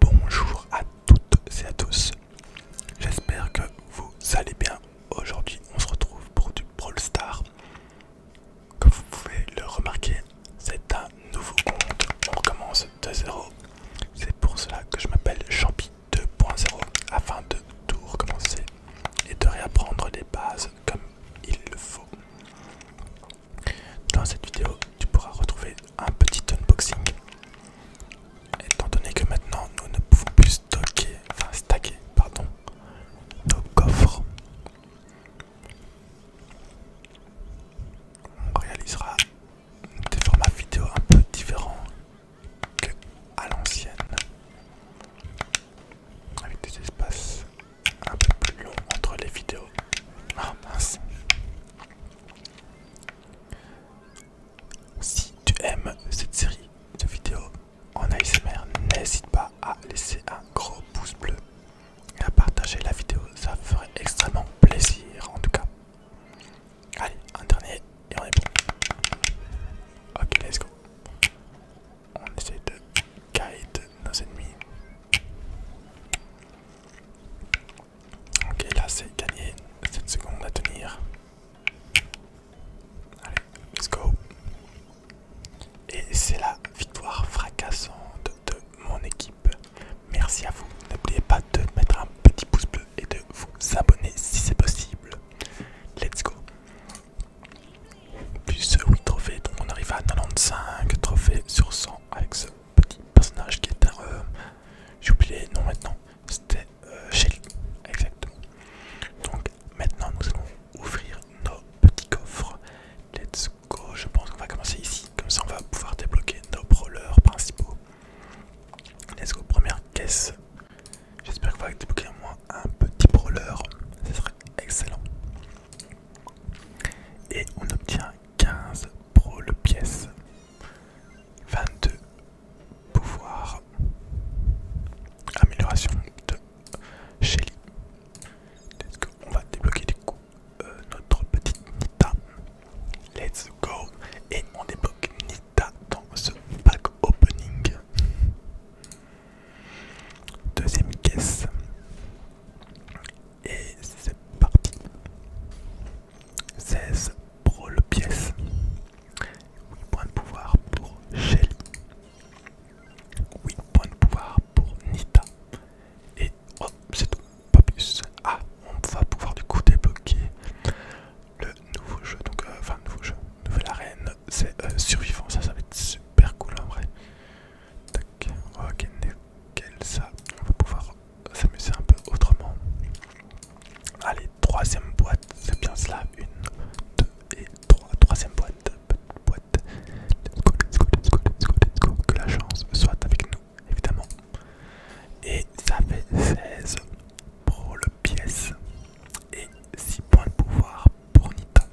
Bonjour à toutes et à tous, j'espère que vous allez bien. Aujourd'hui on se retrouve pour du Brawl Star. Comme vous pouvez le remarquer, c'est un nouveau compte, on recommence de zéro. C'est pour cela que je m'appelle Champi 2.0 afin de tout recommencer et de réapprendre les bases comme il le faut. Dans cette vidéo, tu pourras retrouver un petit unboxing. Étant donné que maintenant nous ne pouvons plus stocker, enfin stacker, pardon, nos coffres, on réalisera des formats vidéo un peu différents que à l'ancienne, avec des espaces un peu plus longs entre les vidéos. Ah, mince! Si tu aimes cette série de vidéos en ASMR, n'hésite pas à laisser un gros pouce bleu et à partager la vidéo, ça ferait extrêmement plaisir en tout cas. Allez, un dernier et on est bon. Ok, let's go. On essaie de guide nos ennemis. Ok, là c'est gagné. 7 secondes à tenir. Allez, let's go. Et c'est la victoire fracassante de mon équipe. Merci à vous. N'oubliez pas de mettre un petit pouce bleu et de vous abonner si c'est possible. Let's go. Plus 8 trophées, donc on arrive à 95 trophées sur 100 avec ce petit personnage qui est un... Euh, j'ai oublié le maintenant, c'était euh, Shelly, exactement. Donc maintenant nous allons ouvrir nos petits coffres. Let's go, je pense qu'on va commencer ici, comme ça on va pouvoir débloquer nos brawlers principaux. Let's go, première caisse. J'espère que vous allez débloquer un petit brawler, ce serait excellent. Et on obtient 15 brawl pièces, 22 pouvoirs, amélioration de Shelly. on va débloquer du coup euh, notre petite Nita. Let's go, et on débloque Nita dans ce pack opening. Deuxième caisse. Et c'est parti. 16 pour le pièce. 8 points de pouvoir pour Shelly. 8 points de pouvoir pour Nita. Et hop, oh, c'est tout, pas plus. Ah, on va pouvoir du coup débloquer le nouveau jeu, donc euh, enfin nouveau jeu, nouvelle arène, c'est euh, survivant, ça ça va être super cool en vrai. ok, nickel ça, on va pouvoir s'amuser un peu autrement. Allez, troisième boîte, c'est bien cela, une, deux et trois, troisième boîte, boîte. Let's que la chance soit avec nous évidemment. Et ça fait 16 pour le pièce et 6 points de pouvoir pour Nita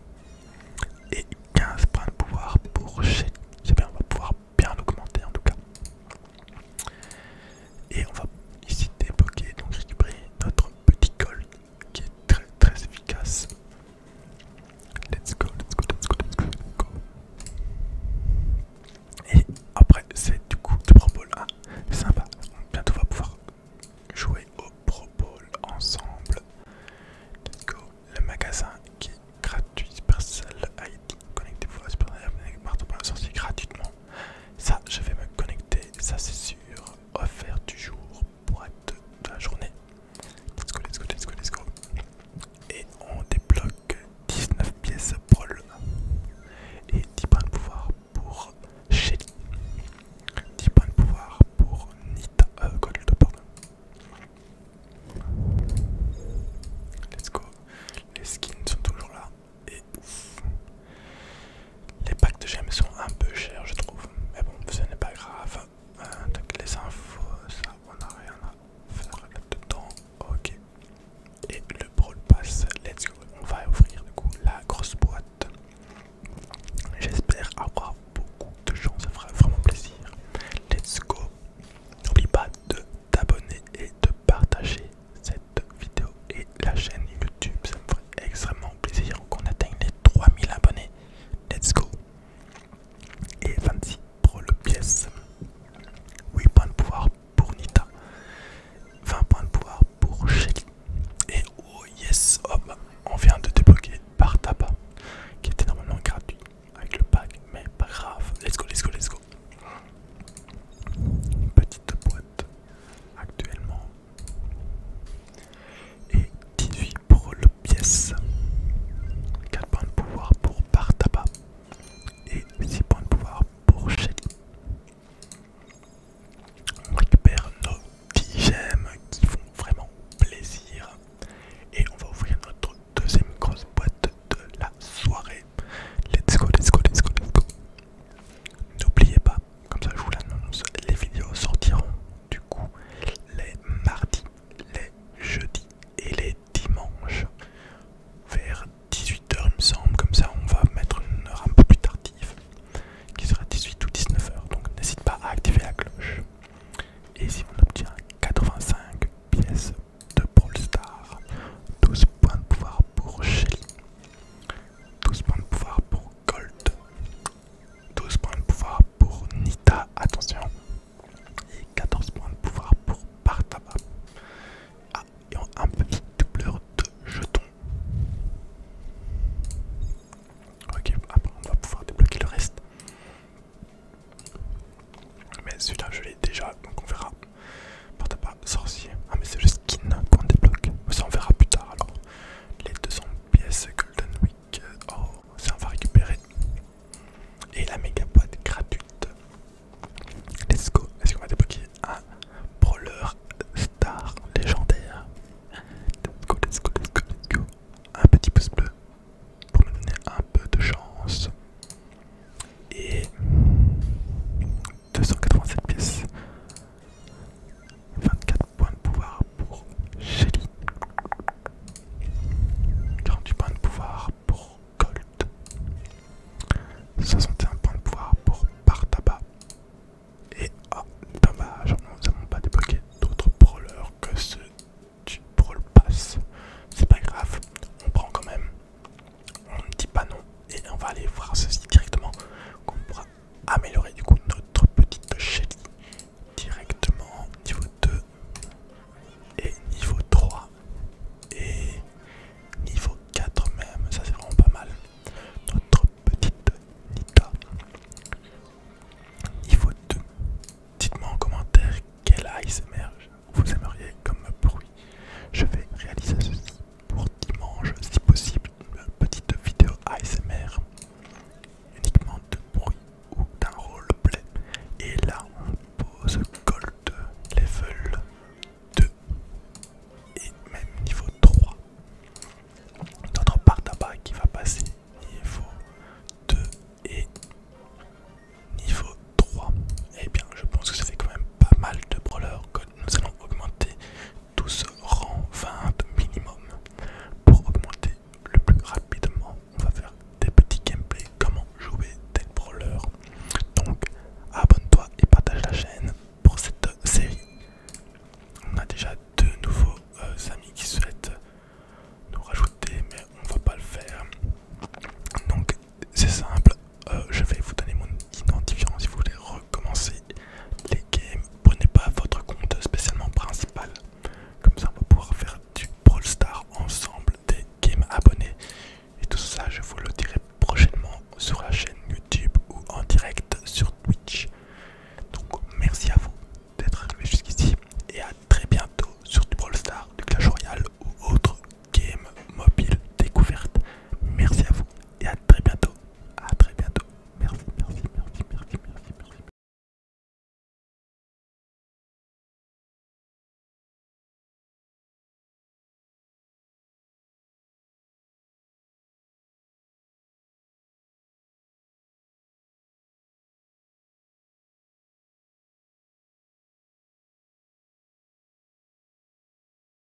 et 15 points de pouvoir pour Shelly. on va pouvoir bien l'augmenter en tout cas. Et on va ici débloquer, donc récupérer notre petit gold qui est très très efficace. Let's go, let's go, let's go, let's go, let's go. Et après, c'est du coup du Pro Bowl. Ah, sympa. Bientôt, on va pouvoir jouer au Pro Bowl ensemble. Let's go. Le magasin qui est gratuit, personnel. ID. Connectez-vous à Supercell ID pour la sorcière gratuitement. Ça, je vais me connecter. Ça, c'est sûr. Offert du jour, boîte de la journée. Let's go, let's go, let's go, let's go. Et on débloque 19 pièces Brawl et 10 points de pouvoir pour Shelly. 10 points de pouvoir pour Nita euh, Gold, pardon. Let's go. Les skins sont toujours là. Et Les packs de gemmes sont un peu chers, je trouve. Mais bon, ce n'est pas grave. Euh, donc les infos, ça, on a rien va faire là-dedans. Ok. Et le Brawl Pass, let's go. On va ouvrir du coup la grosse boîte. J'espère avoir beaucoup de gens, ça fera vraiment plaisir. Let's go. N'oublie pas de t'abonner et de partager cette vidéo et la chaîne YouTube. Ça me ferait extrêmement plaisir qu'on atteigne les 3000 abonnés. Let's go et 26 pour le pièce. 8 points de pouvoir pour Nita. 20 points de pouvoir pour Shelly. Et oh yes, hop, on vient de débloquer Bartaba, qui était normalement gratuit avec le pack, mais pas grave. Let's go, let's go, let's go. Petite boîte actuellement. Et 18 pour le pièce. 4 points de pouvoir pour tabac et 6 points de pouvoir pour Shelly. On récupère nos 10 gemmes qui font vraiment plaisir. Et on va ouvrir notre deuxième grosse boîte de la soirée. Let's go, let's go, let's go, let's go. N'oubliez pas, comme ça je vous l'annonce, les vidéos sortiront du coup les mardis, les jeudis et les dimanches vers 18h il me semble, comme ça on va mettre une heure un peu plus tardive qui sera 18 ou 19h donc n'hésite pas à activer la cloche et si on obtient 85 pièces de Brawl Star 12 points de pouvoir pour Shelly 12 points de pouvoir pour Gold 12 points de pouvoir pour Nita attention et 14 points de pouvoir pour Bartaba. Ah, et un petit doubleur de jetons. Ok, après on va pouvoir débloquer le reste. Mais celui-là je l'ai déjà, donc on verra. Partaba, sorcier. Ah mais c'est le skin qu'on débloque. Ça on verra plus tard alors. Les 200 pièces Golden, oui. Oh, ça on va récupérer. Et la méga boîte gratuite. Let's go. Est-ce qu'on va débloquer un brawler star légendaire Let's go, let's go, let's go, let's go. Un petit pouce bleu pour me donner un peu de chance. Et 287 pièces. 24 points de pouvoir pour Shelly. 48 points de pouvoir pour Gold. 61 points de pouvoir pour Partaba. Et oh, nous n'avons pas débloqué d'autres brawlers que ceux du Brawl Pass. C'est pas grave, on prend quand même. On ne dit pas non et on va aller voir ceci directement améliorer du coup notre petite Shelly directement niveau 2 et niveau 3 et niveau 4 même, ça c'est vraiment pas mal. Notre petite Nita. Niveau 2. Dites-moi en commentaire quel ASMR vous aimeriez comme bruit. Je vais réaliser ceci pour dimanche si possible, une petite vidéo ASMR uniquement de bruit ou d'un roleplay. Et là, on pose Gold Level 2 et même niveau 3. d'autre part tabac qui va passer niveau 2 et niveau 3. Et eh bien, je pense que ça fait quand même pas mal de brawlers nous allons augmenter ce rang, 20 minimum. Pour augmenter le plus rapidement, on va faire des petits gameplays comment jouer tel brawler. Donc abonne-toi et partage la chaîne pour cette série. On a déjà deux nouveaux euh, amis qui souhaitent nous rajouter, mais on va pas le faire. Donc c'est simple, euh, je vais vous donner mon identifiant si vous voulez commencer les games. Prenez pas votre compte spécialement principal. Comme ça, on va pouvoir faire du Brawl Star ensemble, des games abonnés. Et tout ça, je vous le dirai prochainement sur la chaîne YouTube ou en direct sur Twitch. Donc, merci à vous d'être arrivé jusqu'ici et à très bientôt sur du Brawl Star, du Clash Royale ou autre game mobile découverte. Merci à vous et à très bientôt. À très bientôt. Merci, merci, merci, merci, merci, merci.